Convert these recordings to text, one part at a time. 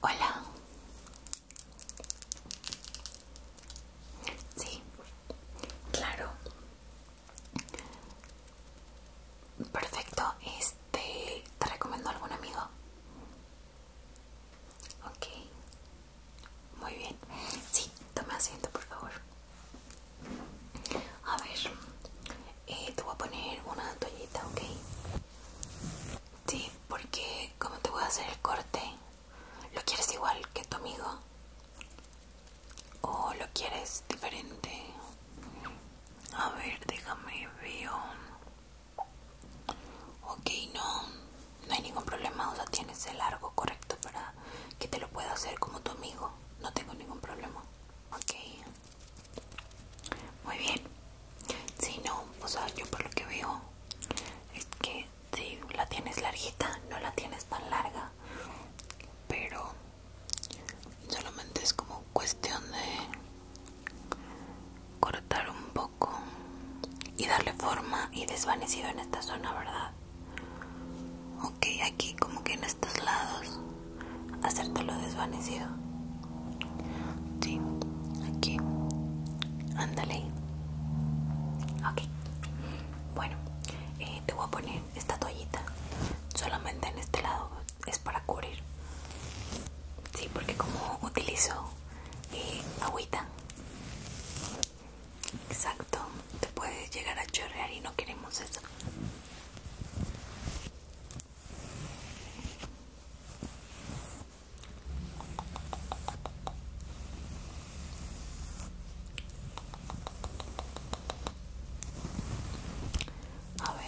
Hola. Sí, claro. Perfecto. Este, ¿te recomiendo algún amigo? Ok. Muy bien. Sí, toma asiento, por favor. A ver, eh, te voy a poner una toallita, ¿ok? Sí, porque como te voy a hacer el corte, ¿lo quieres igual que tu amigo? ¿O lo quieres diferente? A ver, déjame ver. Ok, no, no hay ningún problema. O sea, tienes el largo correcto para que te lo pueda hacer como tu amigo. No tengo ningún problema. Ok. Muy bien. Si no, pues yo por lo que veo es que si la tienes larguita, no la tienes tan larga, pero solamente es como cuestión de cortar un poco y darle forma y desvanecido en esta zona, ¿verdad? Ok, aquí como que en estos lados lo desvanecido. Sí, aquí. Ándale. Ok. Bueno, eh, te voy a poner esta toallita. Solamente en este lado es para cubrir. Sí, porque como utilizo eh, agüita. Exacto. Te puede llegar a chorrear y no queremos eso. A ver,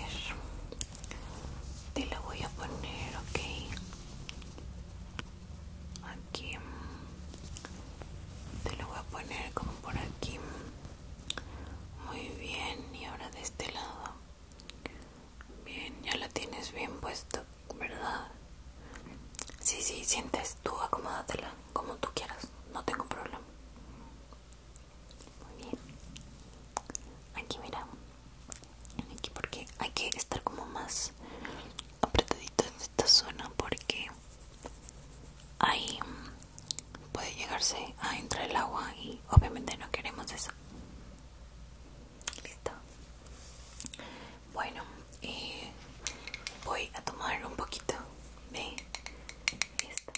te lo voy a poner, ok. Aquí te lo voy a poner como por aquí. Muy bien, y ahora de este lado. Bien, ya la tienes bien puesto, ¿verdad? Sí, sí, sientes, tú acomódatela como tú quieras, no tengo problema. Muy bien. Aquí mira. Aquí porque hay que estar como más apretadito en esta zona porque ahí puede llegarse a entrar el agua y obviamente no queremos eso listo bueno eh, voy a tomar un poquito de listo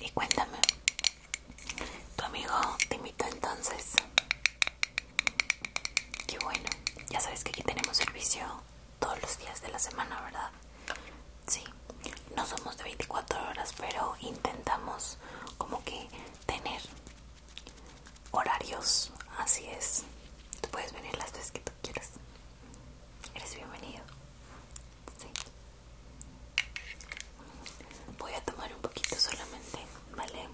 y cuéntame, tu amigo te invitó entonces. Qué bueno, ya sabes que aquí tenemos servicio todos los días de la semana, ¿verdad? Sí, no somos de 24 horas, pero intentamos como que tener horarios, así es. Tú puedes venir las veces que tú quieras. Eres bienvenido. Sí. Voy a tomar un poquito solamente, ¿vale?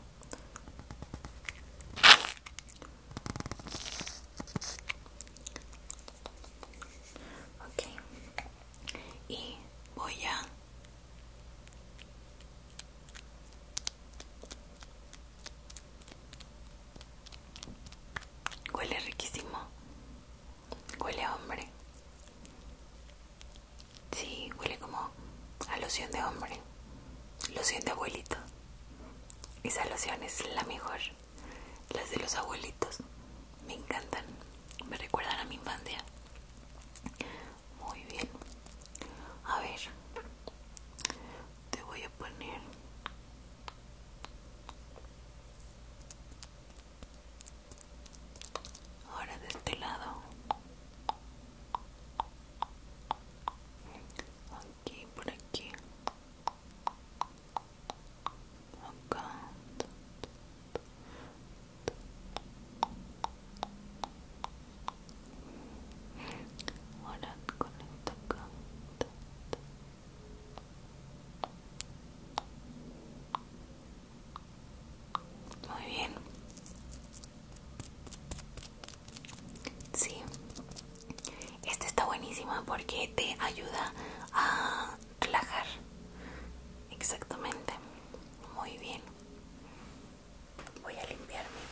Ok. Y voy a Huele riquísimo. Huele hombre. Sí, huele como a loción de hombre. Loción de abuelito. Esa loción es la mejor. Las de los abuelitos. Me encantan. Me recuerdan a mi infancia. Muy bien. A ver te voy a poner ahora de este lado aquí por aquí acá muy bien. Sí. Esta está buenísima porque te ayuda a relajar. Exactamente. Muy bien voy a limpiarme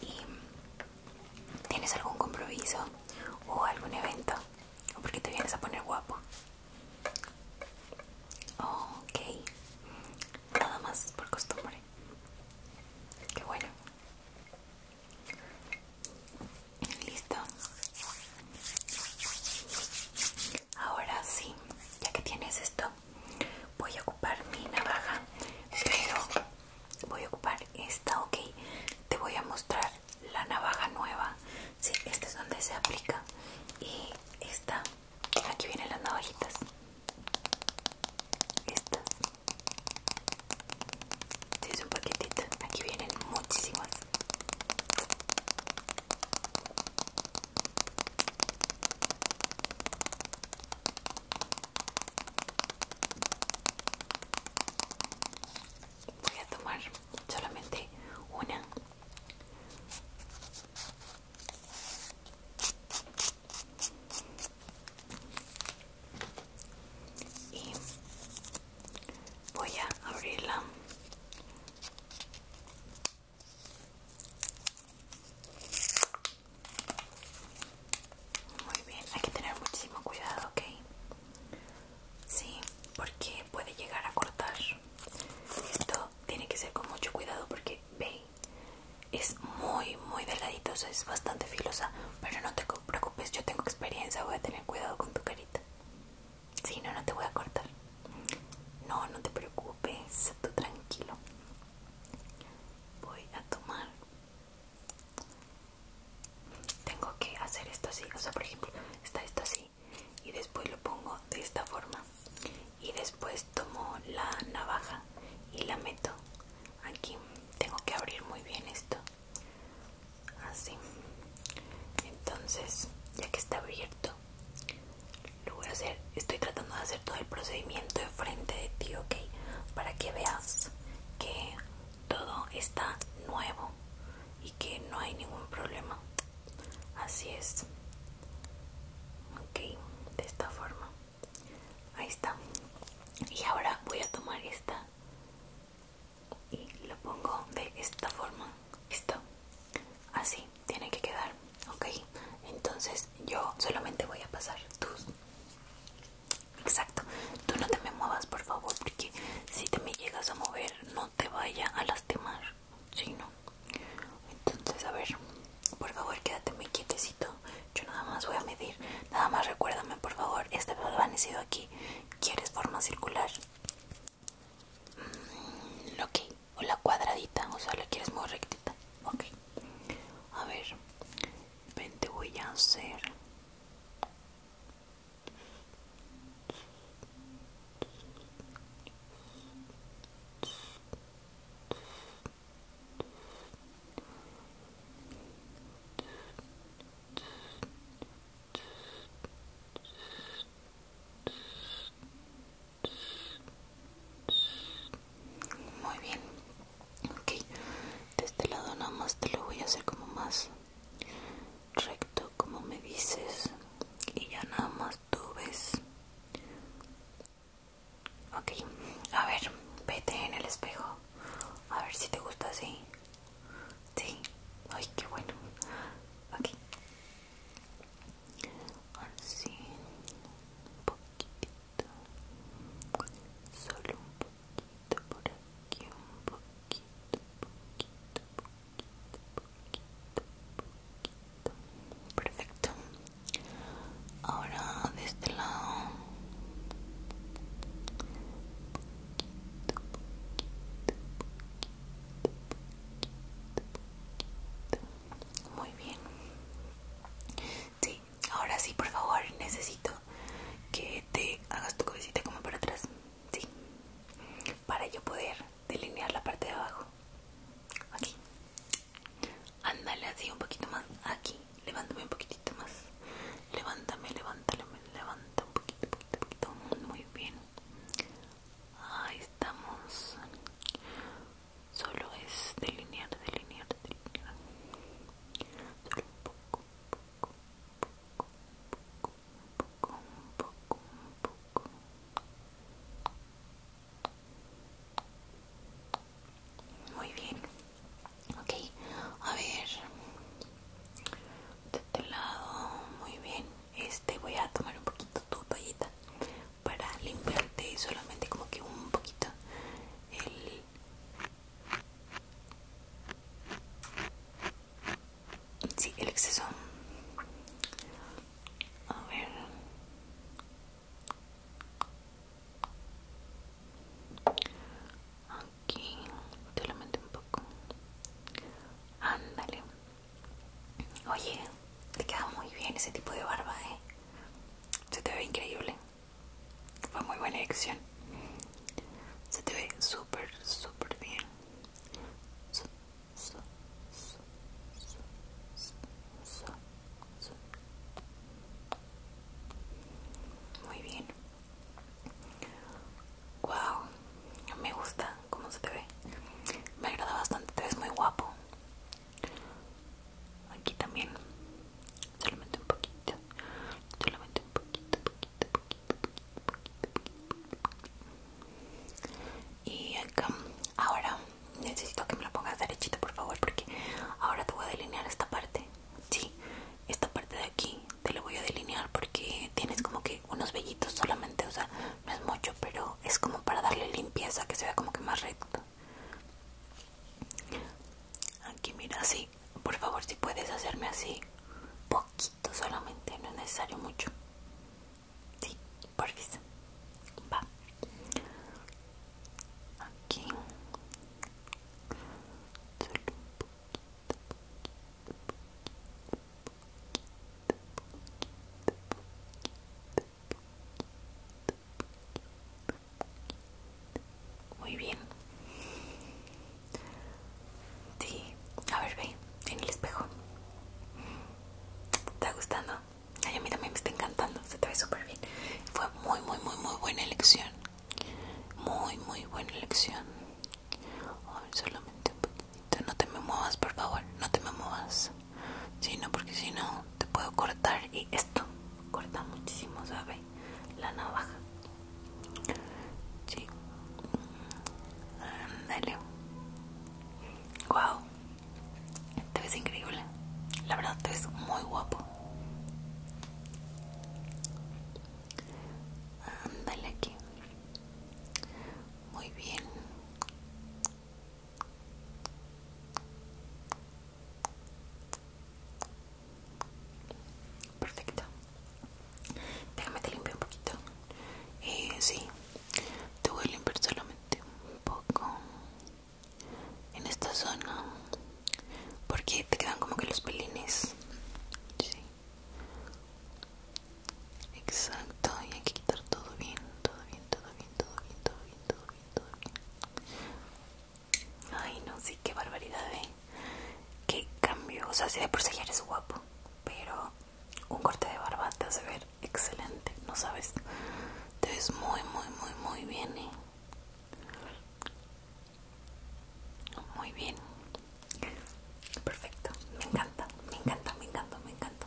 y tienes algún compromiso o algún evento o porque te vienes a poner guapo ok nada más por costumbre qué bueno Listo. Ahora sí, ya que tienes esto, voy a ocupar mi navaja, pero voy a ocupar esta, ok. Te voy a mostrar la navaja nueva. Sí, esta es donde se aplica. Y esta, aquí vienen las navajitas. Estas. es un paquetito. Aquí vienen muchísimas. Voy a tomar solamente una. Y voy a abrirla muy bien hay que tener muchísimo cuidado ok sí porque puede llegar a cortar esto tiene que ser con mucho cuidado porque ve es muy muy delgadito, es bastante filosa pero no te preocupes, yo tengo experiencia, voy a tener cuidado con tu carita. Si no, no te voy a cortar. No, no te preocupes, tú tranquilo. Voy a tomar. Tengo que hacer esto así, o sea, por ejemplo, está esto así y después lo pongo de esta forma y después tomo la navaja y la meto aquí. Tengo que abrir muy bien esto así entonces ya que está abierto lo voy a hacer estoy tratando de hacer todo el procedimiento De frente de ti ok para que veas que todo está nuevo y que no hay ningún problema así es ok de esta forma ahí está y ahora voy a tomar esta y lo pongo de esta forma listo así tiene que quedar ok entonces yo solamente voy a pasar tus exacto tú no te me muevas por favor porque si te me llegas a mover no te vaya a lastimar si no entonces a ver por favor quédate muy quietecito yo nada más voy a medir nada más recuérdame por favor este sido aquí ¿Quieres forma circular? okay, mm, ok, o la cuadradita, o sea, la quieres muy rectita. Ok, a ver, ven, te voy a hacer. Muy bien. Ok. De este lado nada más te lo voy a hacer como más recto, como me dices. Y ya nada más tú ves. Ok. A ver, vete en el espejo. A ver si te gusta así. Sí, ay, qué bueno. Ok, así un poquitito, solo un poquito por aquí, un poquito, poquito, poquito, poquito, poquito. Perfecto. Ahora de este lado. Muy bien. Sí, ahora sí, por favor, necesito que te hagas tu cabecita como para atrás. Sí. Para yo poder delinear la parte de abajo. Aquí. Ándale así un poquito más. Aquí levántame un poquitito más. Levántame, levántame, levántame un poquito, poquito, poquito. Muy bien. Ahí estamos. Solo es delinear, delinear, delinear. Solo un poco, poco, poco, poco, poco, poco, poco. Muy bien ok a ver de este lado muy bien este voy a tomar un poquito tu toallita para limpiarte solamente como que un poquito el sí el exceso a ver aquí te lo mantengo un poco ándale oye te queda muy bien ese tipo de barba eh se te ve increíble fue muy buena elección se te ve súper súper bien muy bien Wow, me gusta cómo se te ve. Me agrada bastante, te ves muy guapo. Aquí también, solamente un poquito, solamente un poquito, poquito, poquito, poquito, Y acá, ahora necesito que me la pongas derechito, por favor, porque ahora te voy a delinear esta parte. Sí, esta parte de aquí te lo voy a delinear porque tienes como que unos vellitos solamente, o sea, no es mucho, pero es como para darle limpieza, que se vea como que más recto. Aquí mira, así, por favor, si puedes hacerme así, poquito solamente, no es necesario mucho. Sí, por Va aquí muy bien sí a ver ve en el espejo ¿Te está gustando? a mí también me está encantando, se te ve súper bien. Fue muy, muy, muy, muy buena elección. Muy, muy buena elección. solamente un poquito No te me muevas, por favor. No te me muevas. Si no, porque si no, te puedo cortar. Y esto corta muchísimo, ¿sabe? La navaja. Sí. Dale. Wow. Te ves increíble. La verdad, te ves muy guapo. Ándale aquí. Muy bien. Perfecto. Déjame te limpio un poquito. Eh, sí, te voy a limpiar solamente un poco en esta zona porque te quedan como que los pelines sí. exacto y hay que quitar todo bien todo bien todo bien todo bien todo bien todo bien ay no sí qué barbaridad ¿eh? qué cambio o sea si de por sí eres guapo pero un corte de barba te hace ver excelente no sabes te ves muy muy muy muy bien ¿eh? Muy bien. Perfecto. Me encanta, me encanta, me encanta, me encanta.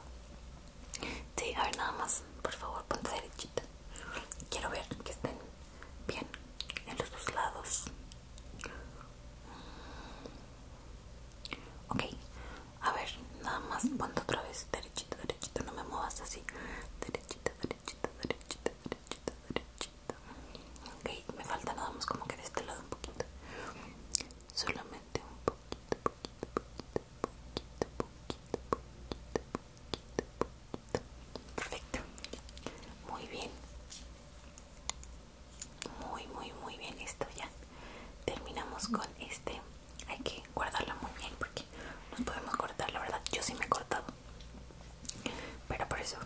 Sí, a ver, nada más. Por favor, ponte derechita. Quiero ver que estén bien en los dos lados. Mm. Ok, a ver, nada más ponte otra vez derechita, derechita, no me muevas así, derechita, derechita derechito, derechito, derechito, derechito. Ok, me falta nada más como que de este lado un poquito. Solamente un poquito, poquito, poquito, poquito, poquito, poquito, poquito, poquito. Perfecto. Muy bien. Muy, muy, muy bien. Esto ya. Terminamos con este. Hay que guardarla muy bien porque nos podemos cortar, la verdad yo sí me he cortado. Pero por eso.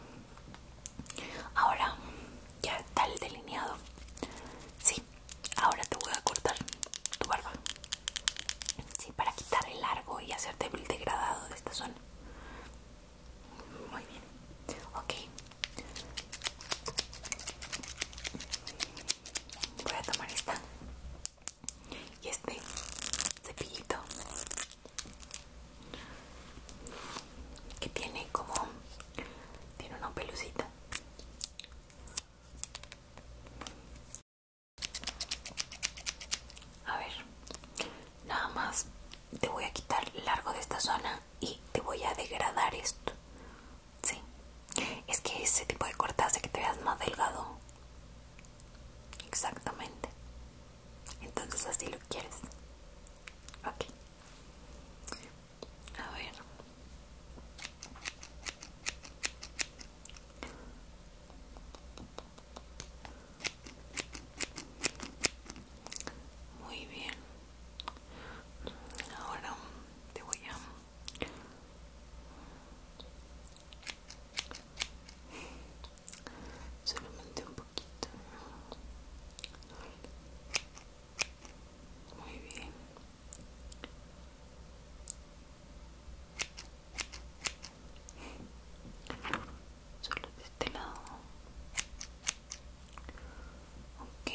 Ahora ya está el delineado. Sí, ahora te voy a cortar tu barba. Sí, para quitar el largo y hacerte el degradado de esta zona. Muy bien. Ok. Voy a tomar esta y este cepillito que tiene como tiene una pelucita a ver nada más te voy a quitar largo de esta zona y te voy a degradar esto sí es que ese tipo de corta hace que te veas más delgado Exactamente. Entonces así lo quieres. Ok. A ver. Muy bien. Ahora te voy a solamente un poquito muy bien solo de este lado ok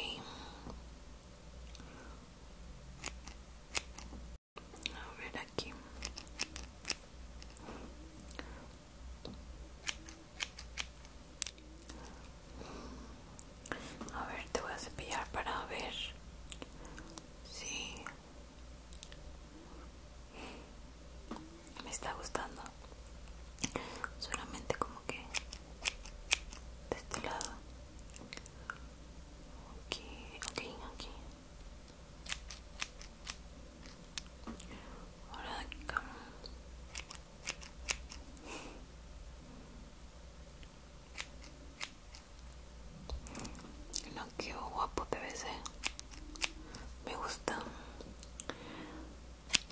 a ver aquí a ver te voy a cepillar para ver si me está gustando solamente como que de este lado aquí, aquí, aquí no, qué guapo te ves, eh. Me gusta.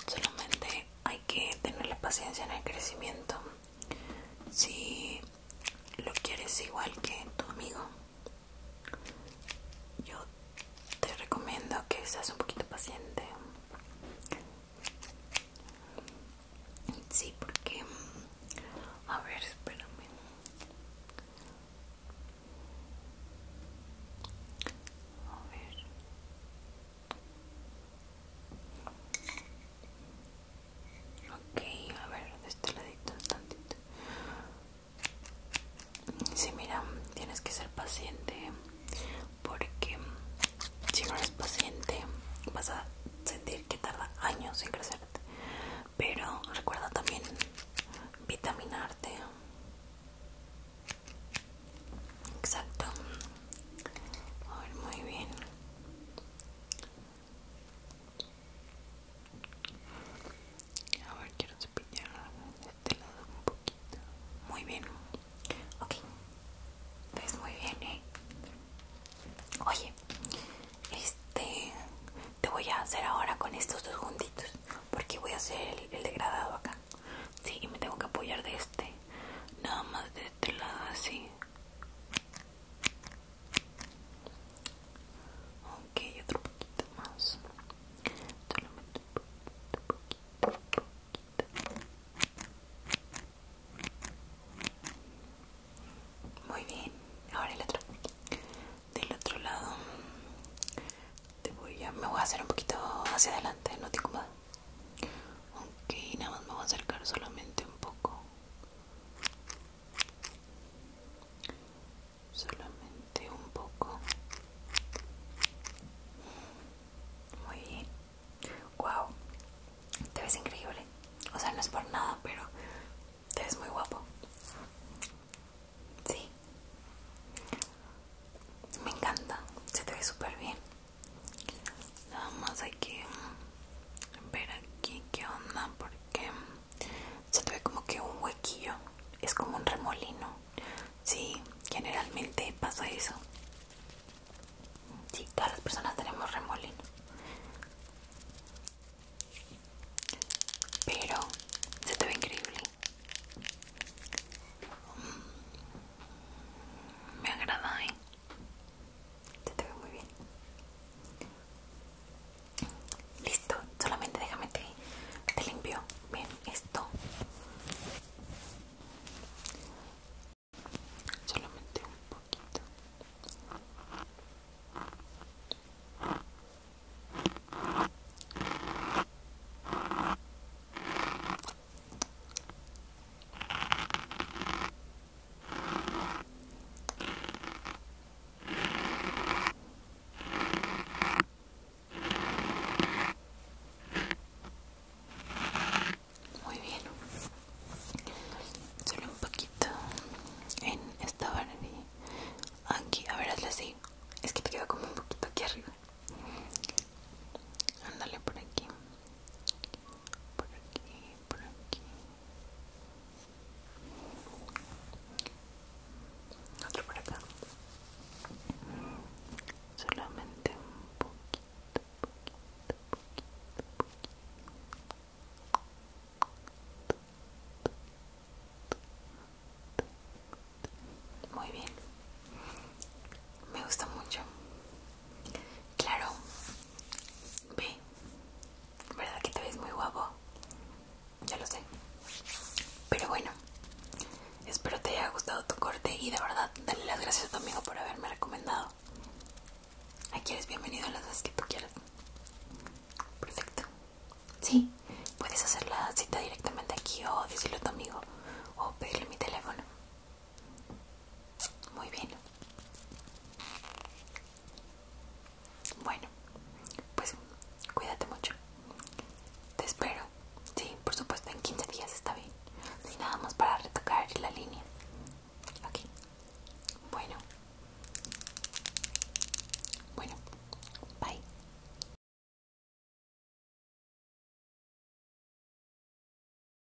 Solamente hay que tener la paciencia en el crecimiento. Si lo quieres igual que tu amigo, yo te recomiendo que seas un poquito paciente. Sí, porque... A ver, espérame. A Ok, a ver, de este ladito tantito. Sí, mira, tienes que ser paciente porque si no eres paciente vas a sentir que tarda años en crecerte. Pero recuerda también vitaminarte. Exacto. A ver, muy bien. A ver, quiero cepillar de este lado un poquito. Muy bien. Ok. Ves pues muy bien, ¿eh? Oye, este... Te voy a hacer ahora con estos dos juntitos. Porque voy a hacer el, el degradado acá. Sí, y me tengo que apoyar de este. Nada más de este lado así. Ok, otro poquito más. Solamente un poquito, poquito, poquito. Muy bien, ahora el otro. Del otro lado, te voy a, me voy a hacer un poquito hacia adelante, no te incomoda. Ok, nada más me voy a acercar solamente un poco solamente un poco muy bien wow te ves increíble o sea no es por nada pero te ves muy guapo sí me encanta se te ve súper bien nada más hay que ver aquí qué onda porque se te ve como que un huequillo es como un remolino sí generalmente pasa eso si, todas las personas tenemos remolino pero se te ve increíble mm, me agrada ¿eh? te ve muy bien. Listo, solamente déjame que te limpio bien esto. Solamente un poquito. Muy bien, solo un poquito en esta barra aquí, a ver, hazle así, es que te queda como un poquito aquí arriba, ándale por aquí, por aquí, por aquí. Otro por acá. Solamente un poquito, poquito, poquito, poquito. Muy bien. Me gusta mucho. Claro, Ve, ¿verdad que te ves muy guapo? Ya lo sé. Pero bueno, espero te haya gustado tu corte y de verdad dale las gracias a tu amigo por haberme recomendado. Aquí eres bienvenido las dos que tú quieras. Perfecto. Sí, puedes hacer la cita directamente aquí o decirlo a tu amigo o pedirle mi teléfono. Muy bien. Bueno, pues cuídate mucho. Te espero. Sí, por supuesto, en 15 días está bien. No nada más para retocar la línea. Aquí. Bueno. Bueno. Bye.